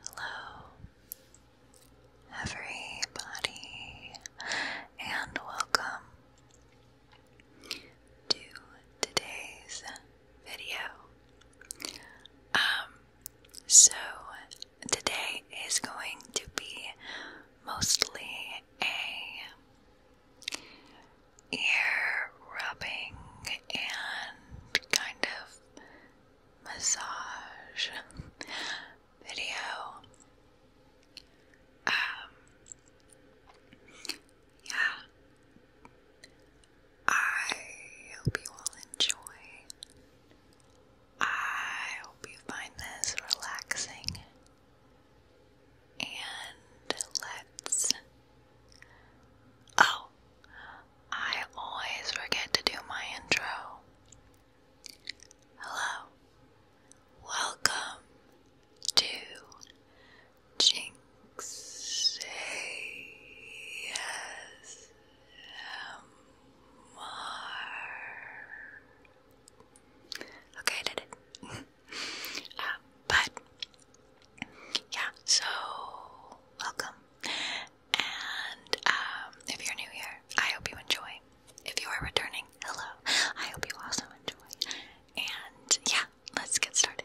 Hello, everybody, and welcome to today's video. Um, so today is going to be mostly a ear rubbing and kind of massage video. Um, yeah. I hope you all enjoy. I hope you find this relaxing and let's. Oh, I always forget to do my intro. Hello. Welcome to Jinx ASMR. Okay, I did it. Uh, but yeah, so welcome. And um, if you're new here, I hope you enjoy. If you are returning, hello. I hope you also enjoy. And yeah, let's get started.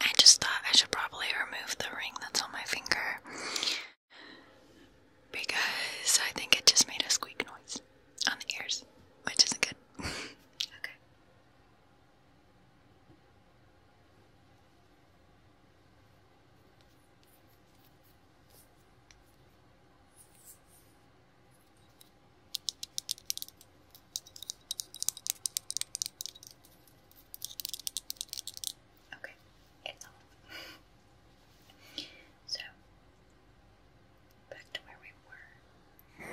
I just thought I should probably remove the ring that's on my finger because I think it just made a squeak noise on the ears, which isn't good. okay. Okay, it's off. so, back to where we were.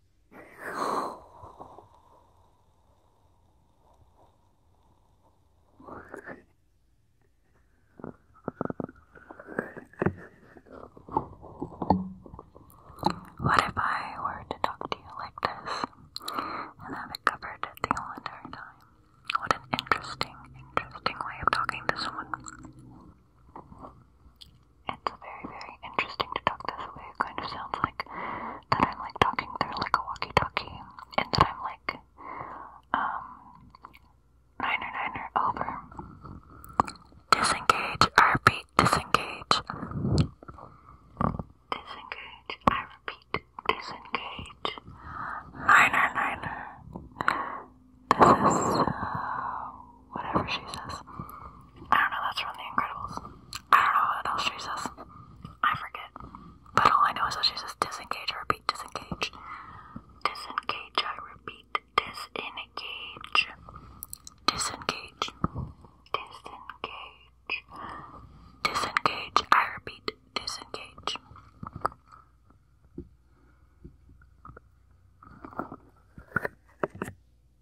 What if I were to talk to you like this and have it covered the whole entire time? What an interesting, interesting way of talking to someone. It's very, very interesting to talk this way. It kind of sounds like that I'm like talking through like a walkie-talkie, and that I'm like, um, niner niner over. Disengage. I repeat. Disengage. Disengage. I repeat. Disengage. Niner niner. This is. Uh, whatever she says. I don't know, that's from The Incredibles. I don't know what else she says. I forget. But all I know is that she says disengage, I repeat, disengage. Disengage, I repeat, disengage. Disengage. Disengage. Disengage, I repeat, disengage.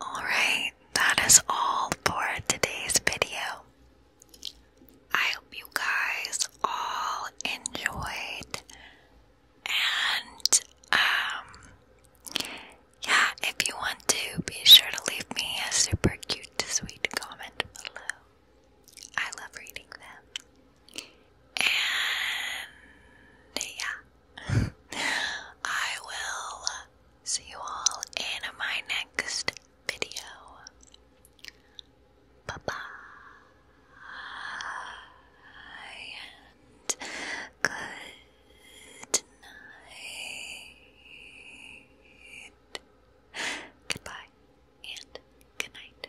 Alright, that is all for today's video. I hope you guys all enjoyed and um yeah, if you want to be sure to leave me a super cute sweet comment below. I love reading them. And yeah. I will see you all in my next video. Bye bye. And good night. Goodbye and good night.